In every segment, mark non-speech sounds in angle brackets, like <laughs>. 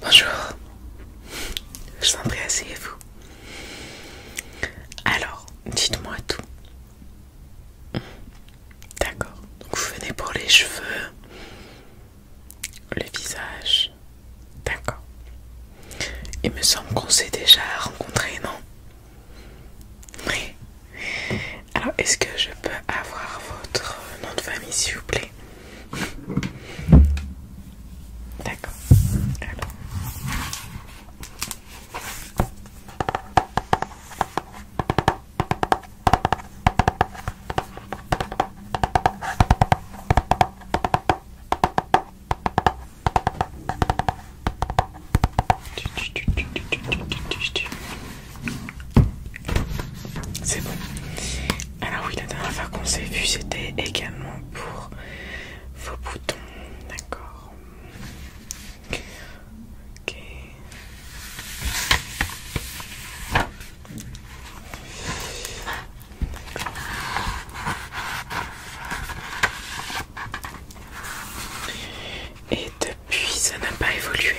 Bonjour, je suis assez vous Alors, dites-moi tout. D'accord, vous venez pour les cheveux, le visage, d'accord. Il me semble qu'on s'est déjà rencontrés, non Oui, alors, est-ce que je peux avoir votre nom de famille, s'il vous plaît D'accord. C'est bon. Alors oui, la dernière fois qu'on s'est vu, c'était également pour vos boutons. D'accord. Et de puis ça n'a pas évolué.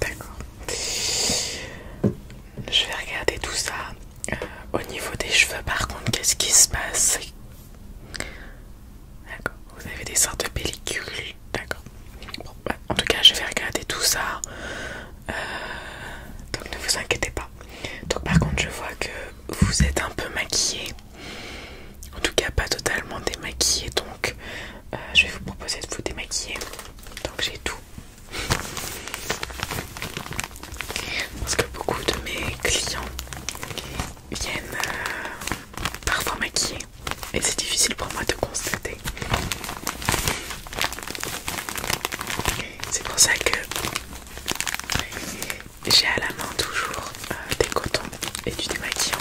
D'accord. Je vais regarder tout ça. Euh, au niveau des cheveux, par contre, qu'est-ce qui se passe D'accord. Vous avez des sortes de pellicules. D'accord. Bah, en tout cas, je vais regarder tout ça. Euh, donc ne vous inquiétez pas. Donc par contre, je vois que vous êtes un peu maquillée. En tout cas, pas totalement démaquillée, donc euh, je vais vous proposer de vous démaquiller. Donc j'ai tout. Parce que beaucoup de mes clients viennent euh, parfois maquiller et c'est difficile pour moi de constater. C'est pour ça que j'ai à la main toujours euh, des cotons et du démaquillant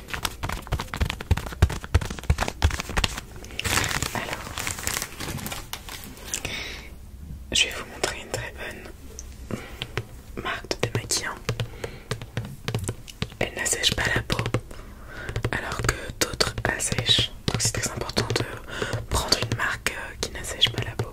Alors, je vais vous montrer une très bonne marque de démaquillant. Elle n'assèche pas la peau, alors que d'autres assèchent. Donc c'est très important de prendre une marque euh, qui n'assèche pas la peau.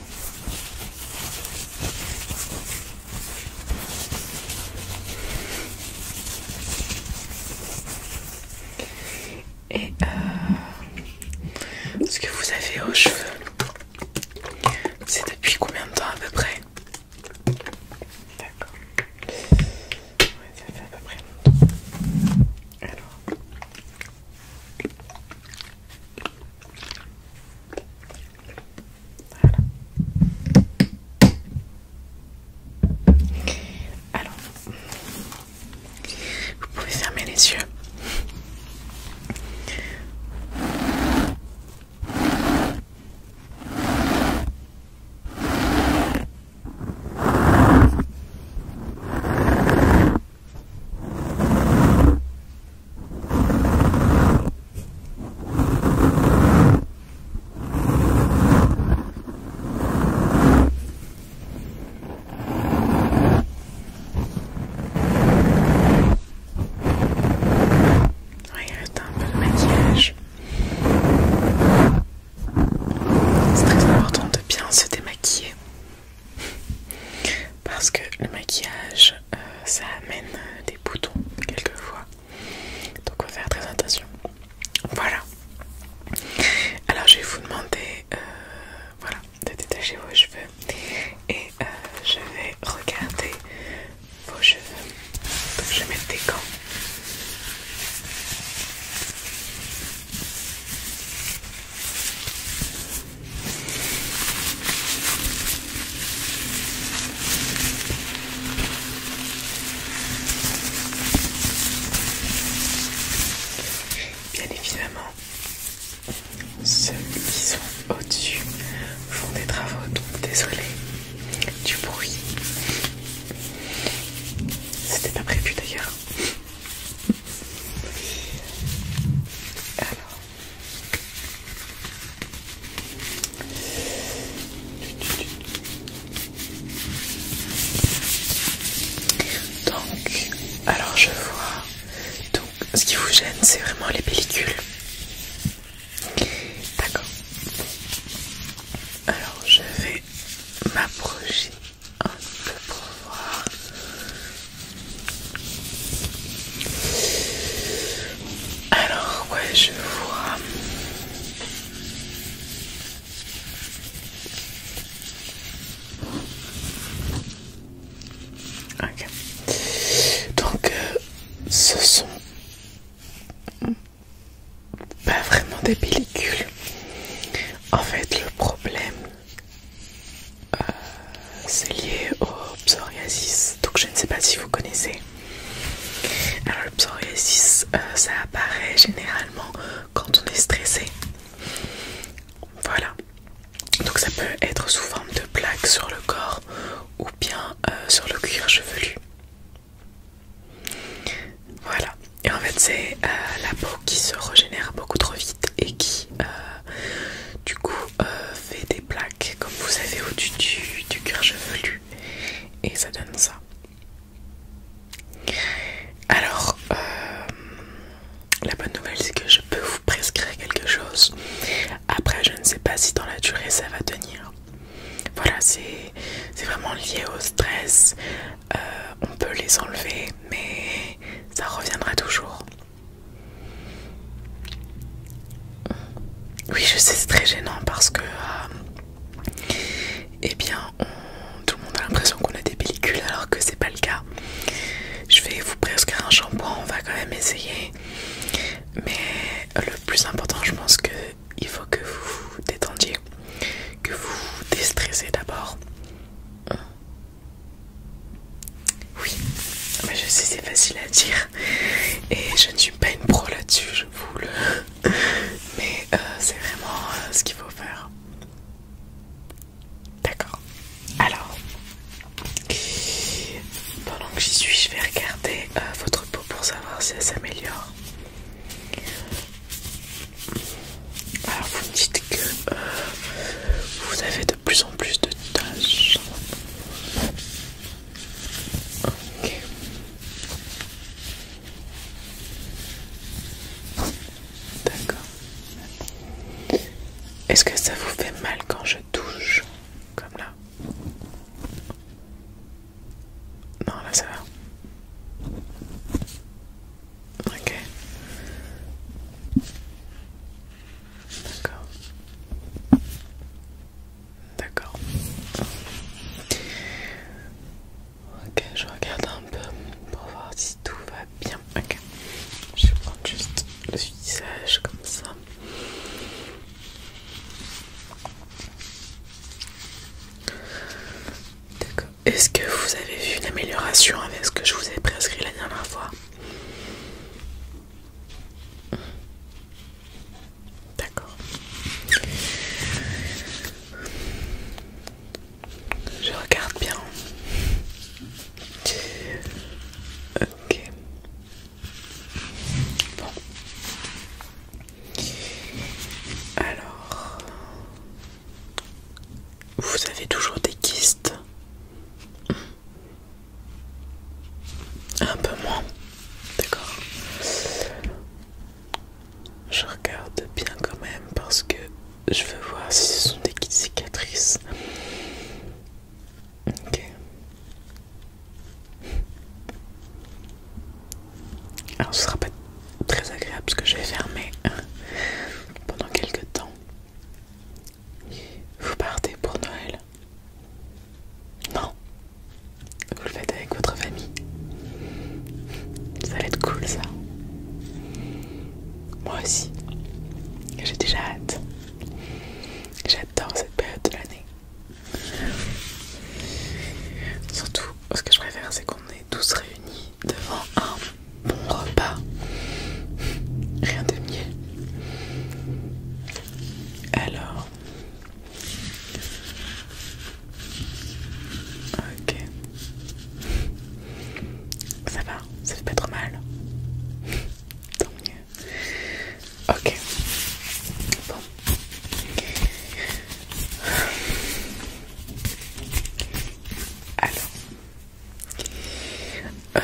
Et euh, ce que vous avez aux cheveux, c'est depuis combien de temps à peu près D'accord. ça fait à peu près Alors. Alors, vous pouvez fermer les yeux un peu de maquillage. C'est très important de bien se démaquiller. Parce que le maquillage euh, ça amène euh, des boutons quelquefois. Donc on va faire très attention. Voilà. Alors je vais vous demander euh, voilà, de détacher vos cheveux et je vais regarder vos cheveux. Donc je vais mettre des gants. Bien évidemment, ceux qui sont au-dessus font des travaux, donc désolé du bruit. C'était pas prévu d'ailleurs. <laughs> Alors, donc, alors je vois. Donc, ce qui vous gêne, c'est vraiment les pellicules. D'accord. Alors, je vais m'approcher un peu pour voir. Alors, ouais, je vois. Ok. Donc, euh, ce sont pas bah, vraiment des pellicules. En fait, le problème, euh, c'est lié au psoriasis, donc je ne sais pas si vous connaissez. Alors le psoriasis, euh, ça apparaît généralement quand on est stressé. Voilà. Donc ça peut être sous forme de plaques sur le corps ou bien euh, sur le cuir chevelu. Voilà. Et en fait c'est la peau qui se régénère beaucoup trop vite et qui du coup euh, fait des plaques comme vous avez au-dessus du, du chevelu et ça donne ça. Alors, euh, la bonne nouvelle c'est que je peux vous prescrire quelque chose. Après, je ne sais pas si dans la durée ça va tenir. Voilà, c'est vraiment lié au stress. Euh, on peut les enlever, mais ça reviendra toujours. Oui, je sais, c'est très gênant parce que, euh, eh bien, tout le monde a l'impression qu'on a des pellicules alors que c'est pas le cas. Je vais vous prescrire un shampoing, on va quand même essayer. Mais le plus important, je pense que il faut que vous vous détendiez, que vous vous déstressez d'abord. Oui, mais ah bah, je sais, c'est facile à dire. Et je ne suis pas une pro là-dessus, je vous le. <laughs> Mais euh, c'est vraiment euh, ce qu'il faut faire. D'accord. Alors, pendant que j'y suis, je vais regarder euh, votre peau pour savoir si elle s'améliore. Alors, vous me dites que vous avez de plus en plus de tâches. D'accord. Est-ce que ça vous fait mal quand je touche comme là Non, ça va. Ok. D'accord. D'accord. Ok, je regarde un peu pour voir si tout va bien. Ok, je vais prendre juste le visage comme ça. D'accord. Est-ce que vous avez vu une amélioration avec ce que je vous ai prescrit la dernière fois D'accord. Je regarde bien. Ok. Bon. Alors, vous avez toujours des kystes un peu moins, d'accord. Je regarde bien quand même parce que je veux voir si ce sont des cicatrices. Ok. Alors ce sera pas très agréable parce que je vais fermer euh, pendant quelques temps. Vous partez pour Noël Non. Vous le faites avec votre famille. Ça va être cool ça. Moi aussi. J'ai déjà hâte. J'adore cette période de l'année. Surtout, ce que je préfère, c'est qu'on est tous réunis devant un bon repas. Rien de mieux. Alors. Ok. Ça va, ça fait pas trop mal. Tant mieux. Ok. Bon. Alors, euh,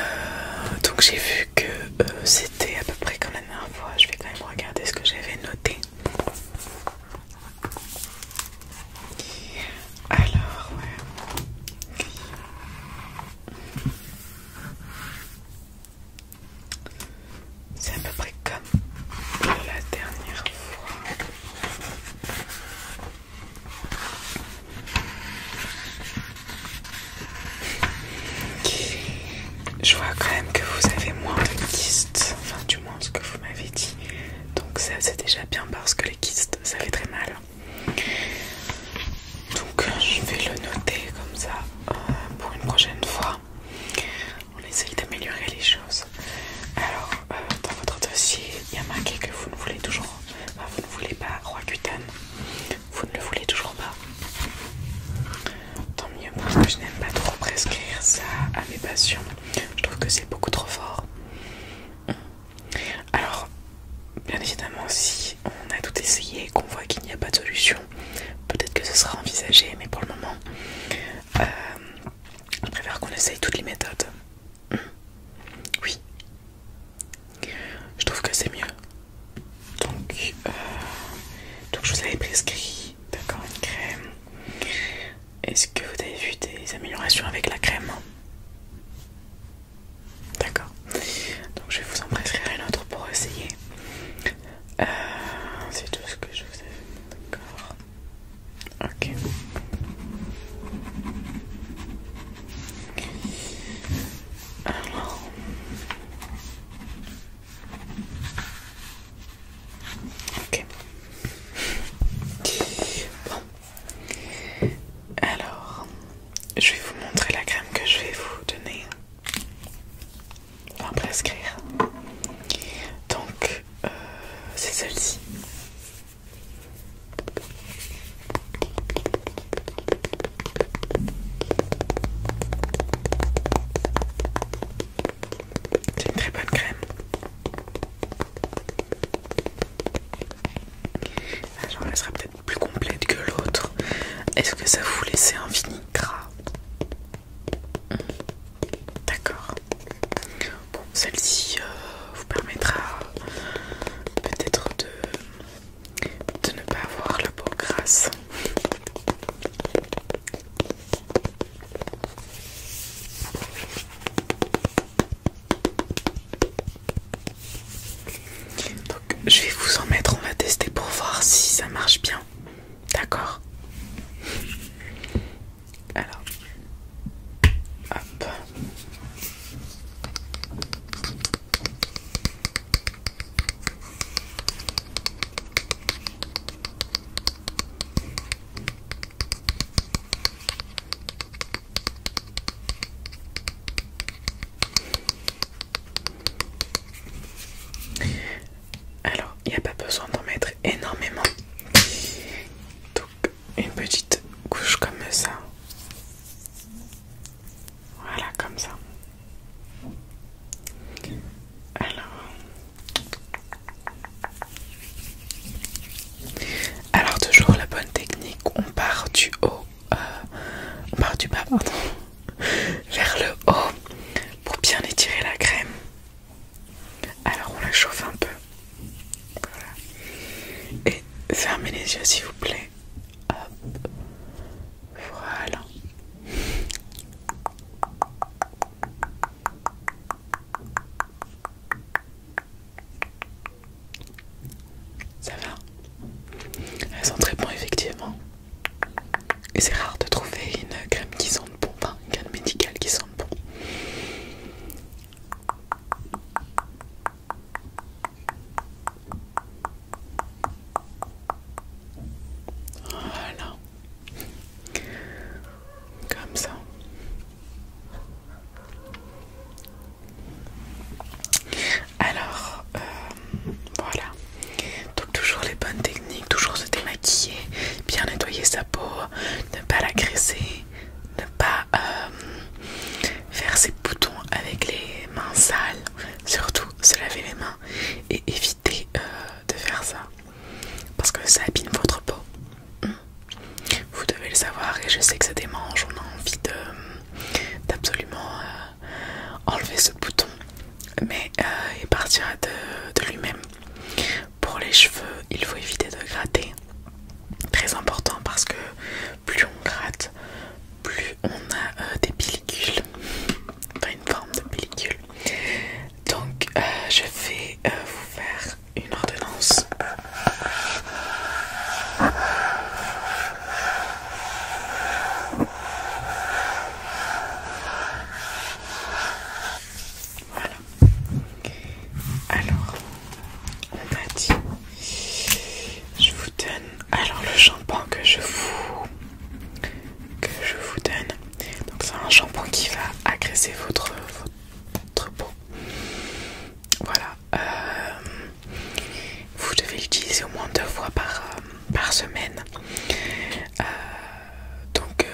donc j'ai vu que euh, c'était à peu près comme la dernière fois. Je vais quand même regarder ce que j'avais noté. Alors C'est à peu près comme la dernière fois. Je vois quand même que vous avez moins de kystes, enfin du moins ce que vous m'avez dit. Donc ça c'est déjà bien parce que les kystes ça fait très mal. Donc je vais le noter comme ça euh, pour une prochaine fois. On essaye d'améliorer les choses. Alors euh, dans votre dossier il y a marqué que vous ne voulez toujours, vous ne voulez pas roi cutane vous ne le voulez toujours pas. Tant mieux, moi je n'aime pas trop prescrire ça à mes patients. Je trouve que c'est beaucoup trop fort. Alors, bien évidemment, si on a tout essayé et qu'on voit qu'il n'y a pas de solution, peut-être que ce sera envisagé, mais pour le moment, euh, je préfère qu'on essaye toutes les méthodes. Oui, je trouve que c'est mieux. Donc, euh, donc, je vous avais prescrit une crème. Est-ce que vous avez vu des améliorations avec la crème D'accord. Donc je vais vous en prescrire une autre pour essayer. Euh, c'est tout ce que je vous ai D'accord. Ok. Alors. Ok. Bon. Alors, je vais vous montrer la crème que je vais vous donner. Enfin, prescrire. Donc, euh, c'est celle-ci. C'est une très bonne crème. J'en ah, elle sera peut-être plus complète que l'autre. Est-ce que ça vous laissait un fini gras hmm. D'accord. Bon, celle-ci euh, vous permettra peut-être de de ne pas avoir le beau grâce Donc, je vais vous en mettre, on va tester pour voir si ça marche bien. D'accord Alors, hop. Alors, il n'y a pas besoin d'en mettre énormément. Donc, une petite couche comme ça. Voilà, comme ça. Alors... toujours la bonne technique, on part du haut, euh, on part du bas pardon, <laughs> vers le haut pour bien étirer la crème. Alors on la chauffe un peu. Et fermez les yeux s'il vous plaît. Voilà. Ça va Elles sont très bonnes effectivement. Et c'est rare de trouver une crème qui sente bon, une crème médicale qui sent bon. Voilà. Comme ça. Alors, euh, voilà. Donc toujours les bonnes techniques, toujours se démaquiller, bien nettoyer sa peau, ne pas la l'agresser, ne pas... Euh, faire ses boutons avec les mains sales, surtout se laver les mains et éviter euh, de faire ça parce que ça abîme votre peau. Hmm. Vous devez le savoir et je sais que ça démange, on a envie d'absolument euh, enlever ce bouton mais euh, il partira de lui-même. Pour les cheveux, il faut éviter de gratter. Très important parce que plus on gratte, plus on a euh, des pellicules, enfin une forme de pellicule. Donc euh, je vais euh, vous faire une ordonnance. Voilà. Alors, on m'a dit je vous donne alors le shampoing que je vous que je vous donne. Donc c'est un shampoing qui va agresser votre peau. Voilà. Euh, vous devez l'utiliser au moins deux fois par, euh, semaine. Euh, donc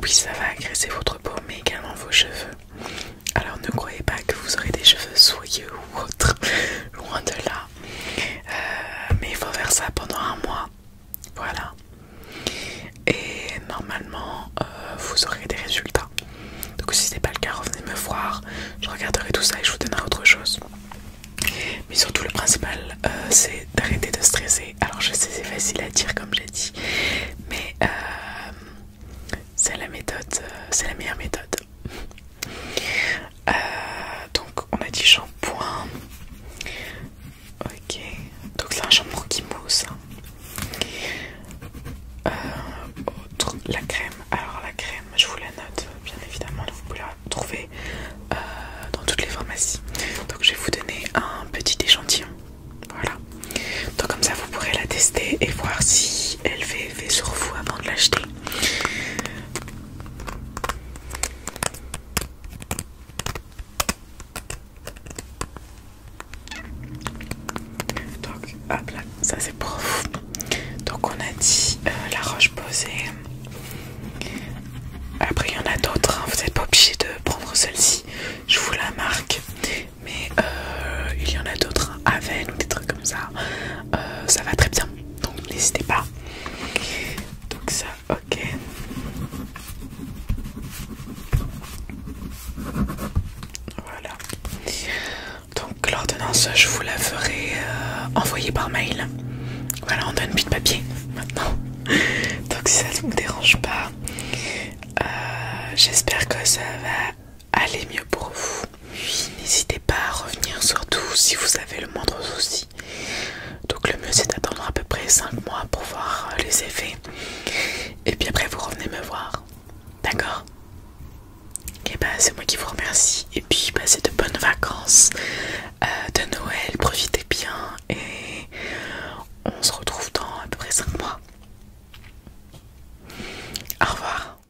oui, ça va agresser votre peau, mais également vos cheveux. Alors ne croyez pas que vous aurez des cheveux soyeux ou autres. <laughs> Loin de là, euh, mais il faut faire ça pendant un mois. Voilà. Et normalement, euh, vous aurez des résultats. Donc si c'est n'est pas le cas, revenez me voir. Je regarderai tout ça et je vous donnerai autre chose. Mais surtout, le principal, euh, c'est d'arrêter de stresser. Alors je sais, c'est facile à dire comme j'ai dit. Mais... c'est la méthode, c'est la meilleure méthode. Euh, donc on a dit shampoing. Ok. Donc c'est un shampoing qui mousse. Hein. Euh, la crème. Alors la crème, je vous la note bien évidemment. vous pouvez la trouver euh, dans toutes les pharmacies. Donc je vais vous donner un petit échantillon. Voilà. Donc comme ça vous pourrez la tester et voir si elle fait effet sur vous avant de l'acheter. Donc, hop là, ça c'est prof. Donc, on a dit euh, la roche posée. Après, il y en a d'autres, hein. vous n'êtes pas obligé de prendre celle-ci, je vous la marque. Mais euh, il y en a d'autres, hein. avec ou des trucs comme ça. Euh, ça va très bien donc n'hésitez pas. Donc ça, ok. Voilà. Donc l'ordonnance, je vous la ferai euh, envoyer par mail. Voilà, on donne plus de papier maintenant. <laughs> Donc si ça ne vous dérange pas, euh, j'espère que ça va allez mieux pour vous. n'hésitez pas à revenir surtout si vous avez le moindre souci. Donc le mieux c'est d'attendre à peu près 5 mois pour voir euh, les effets. Et puis après vous revenez me voir. D'accord Et bah c'est moi qui vous remercie. Et puis passez bah, de bonnes vacances euh, de Noël. Profitez bien et on se retrouve dans à peu près 5 mois. Au revoir.